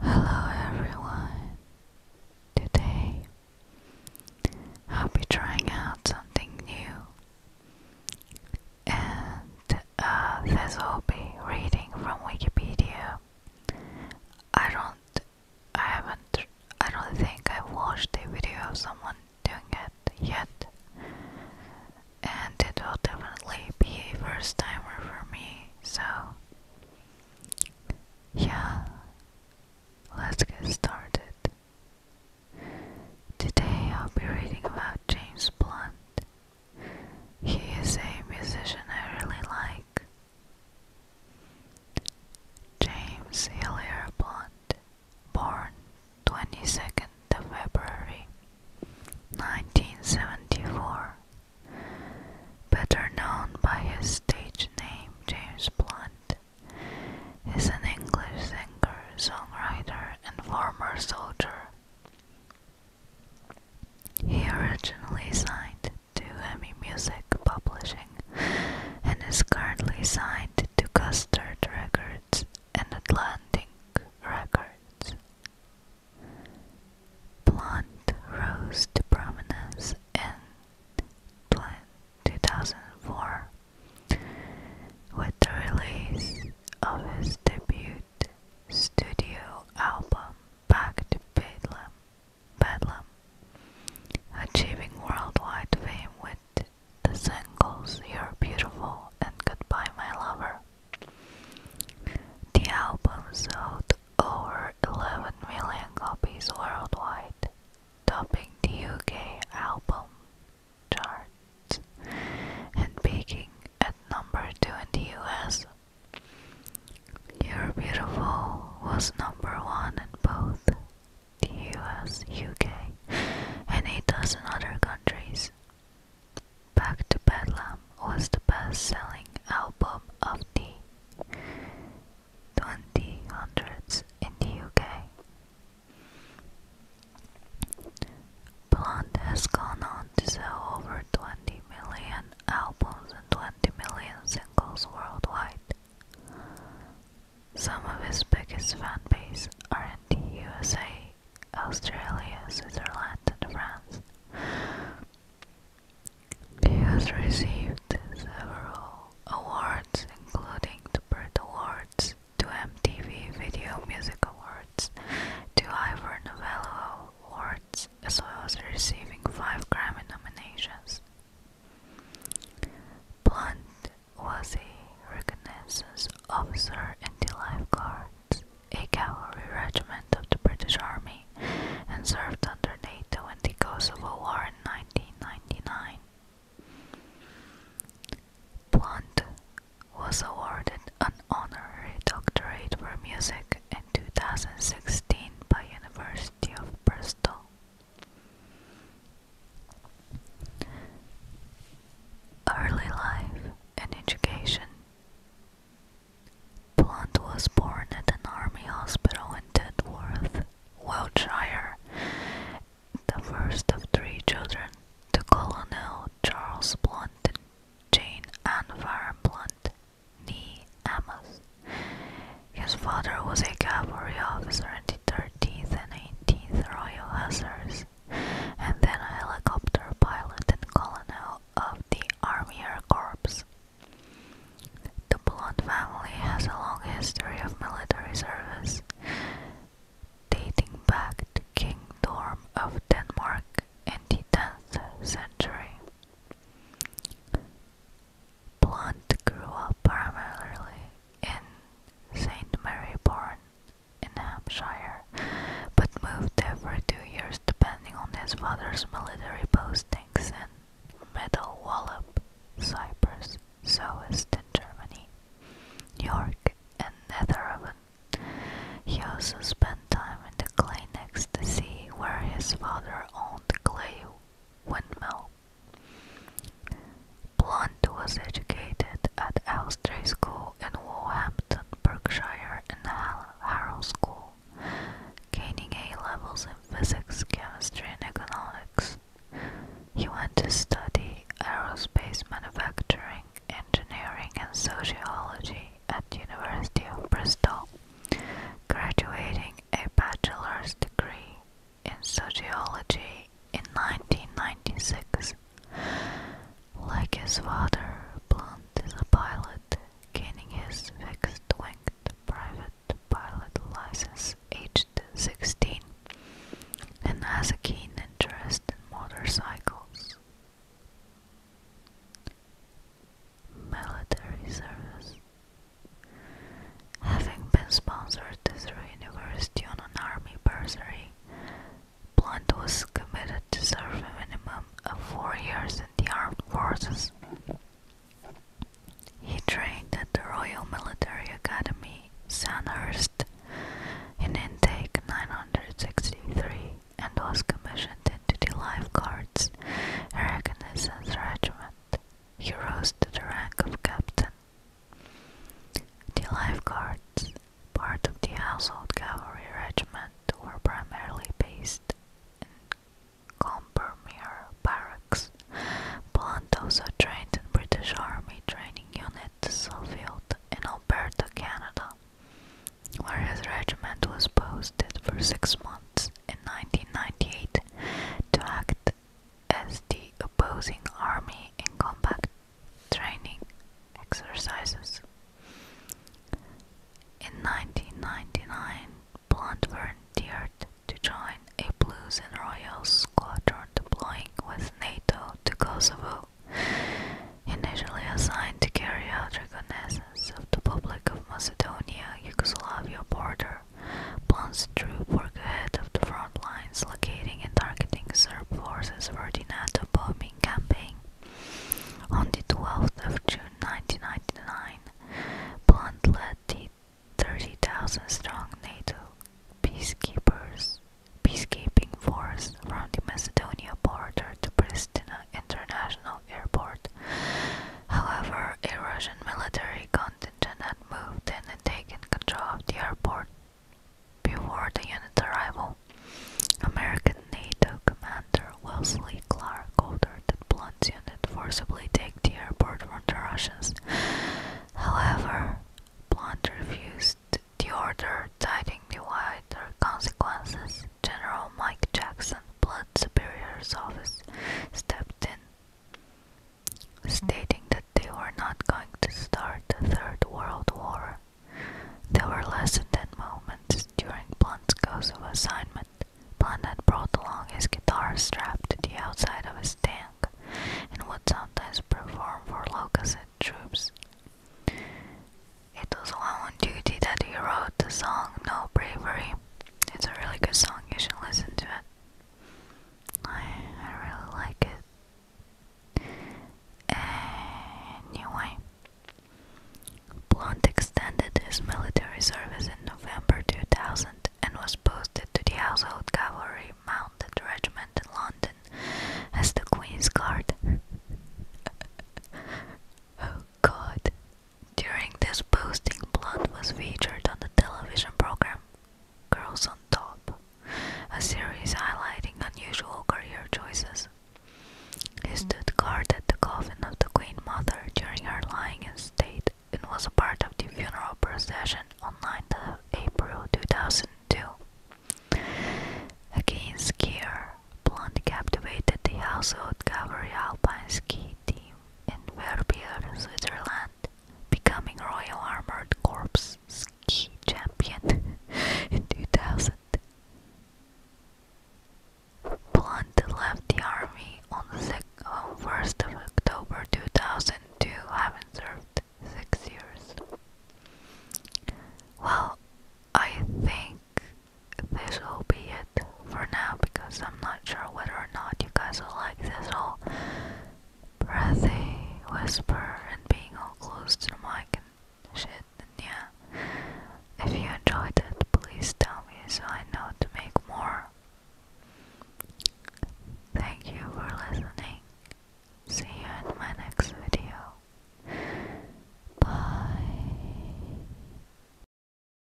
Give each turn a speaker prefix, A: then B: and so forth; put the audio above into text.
A: Hello everyone! Today I'll be trying out something new and uh, this will be reading from Wikipedia. I don't, I haven't, I don't think I've watched a video of someone doing it yet and it will definitely be a first timer for me so yeah, let's get started. Today I'll be reading about James Blunt. He is a musician I really like. James Hillier Blunt, born 22nd February 1974 Better known by his stage name James Blunt, is an English singer, songwriter, and former soldier. He originally signed to Emmy Music Publishing and is currently signed to Custard Records and Atlantic Records. Blunt rose to prominence in 2004 with the release of his debut studio album Back to Bedlam, Bedlam achieving worldwide fame with the singles You're Beautiful and Goodbye My Lover. The album sold over 11 million copies worldwide, topping the UK album chart and peaking at number 2 in the US. You're Beautiful was number 1 in both the US, UK, and 8 dozen other countries. Back to Bedlam was the best-selling album of the 2000s in the UK. Blonde has gone on to sell over 20 million albums and 20 million singles worldwide. Some of his biggest fan bases are in the USA Australia, Switzerland and France. He has received several awards including the Brit Awards, two MTV Video Music Awards, two Ivor Novello Awards, as well as receiving five Grammy nominations. Blunt was a reconnaissance officer in the lifeguards a cavalry regiment of the British Army and served under NATO in the Kosovo War in 1999. Blunt was awarded an honorary doctorate for music in 2016 by University of Bristol. Early life and education. Blunt was born at an army hospital in Tedworth, Wiltshire, the first of three children to Colonel Charles Blunt Jane Ann Farren nee Amos. His father was a cavalry officer in the 13th and 18th Royal Hussars, and then a helicopter pilot and colonel of the Army Air Corps. The Blunt family has a long history of military service, dating back to King Dorm of Denmark in the 10th century. Blunt grew up primarily in St. Mary Born in Hampshire, but moved there for two years depending on his father's military postings in Middle Wallop, Cyprus, Soest in Germany, York, and Netherhaven. He also spent time in the clay next to sea where his father owned clay windmill. Blunt was educated at Elstree School in Wolverhampton, Berkshire and Harrow School, gaining A-levels in physics, chemistry and economics. He went to study aerospace manufacturing, engineering and sociology at University of Bristol, graduating a bachelor's degree in sociology in 1996. Like his father, Blunt is a pilot, gaining his fixed wing private pilot license aged 16 and has a keen interest in motorcycles. Military service. Having been sponsored Curtis University on an army bursary. Blunt was committed to serve a minimum of four years in the armed forces. He trained at the Royal Military Academy, Sandhurst, in intake 963 and was commissioned into the Lifeguards, a reconnaissance regiment. He rose to the rank of captain the lifeguards, part of the Household Cavalry Regiment, were primarily based in Combermere Barracks, Blunt also trained in British Army Training Unit Suffield in Alberta, Canada, where his regiment was posted for six months in 1998 to act as the opposing army in combat training exercises. In 1999, Blunt volunteered to join a Blues and Royals squadron deploying with NATO to Kosovo, initially assigned to carry out reconnaissance of the Republic of Macedonia Yugoslavia border Blunt's troops through ahead of the front lines, locating and targeting Serb forces for the NATO bombing campaign. On the 12th of June 1999, Blunt led the 30,000 strong NATO peacekeepers peacekeeping force from the Macedonia border to Pristina International Airport. However, a Russian military contingent had moved and taken control of the airport before the unit's arrival. American NATO commander Wesley Clark ordered that Blunt's unit forcibly take the airport from the Russians. However, Blunt refused the order, citing the wider consequences. General Mike Jackson, Blunt's superior's office, stepped in stating that they were not going to start the Third World War. There were less than 10 moments during Blunt's Kosovo assignment. Blunt had brought along his guitar strapped to the outside of his tank and would sometimes perform for locusts and troops. It was while on duty that he wrote the song No Bravery. It's a really good song, you should listen to it. I, really like it. Anyway, Blunt extended his military service in November 2000 and was posted to the Household Cavalry Mounted Regiment in London as the Queen's Guard. oh god, during this posting, Blunt was featured on the television program Girls on Top, a series highlighting unusual career choices. He stood guard at the coffin of the Queen Mother during her lying in state and was a part of the funeral procession on 9th April 2002. Against skier, Blunt captivated the household cavalry alpine ski team in Verbier, Switzerland, becoming Royal Armored Corps Ski Champion in 2000. Blunt left the army on the 1st of October 2002, having served six years. Well, I think this will be it for now because I'm not sure whether or not you guys will like this all breathy whisper and being all close to the mic and shit. And yeah, if you enjoyed it, please tell me so I know to make more. Thank you for listening. See you in my next video. Bye.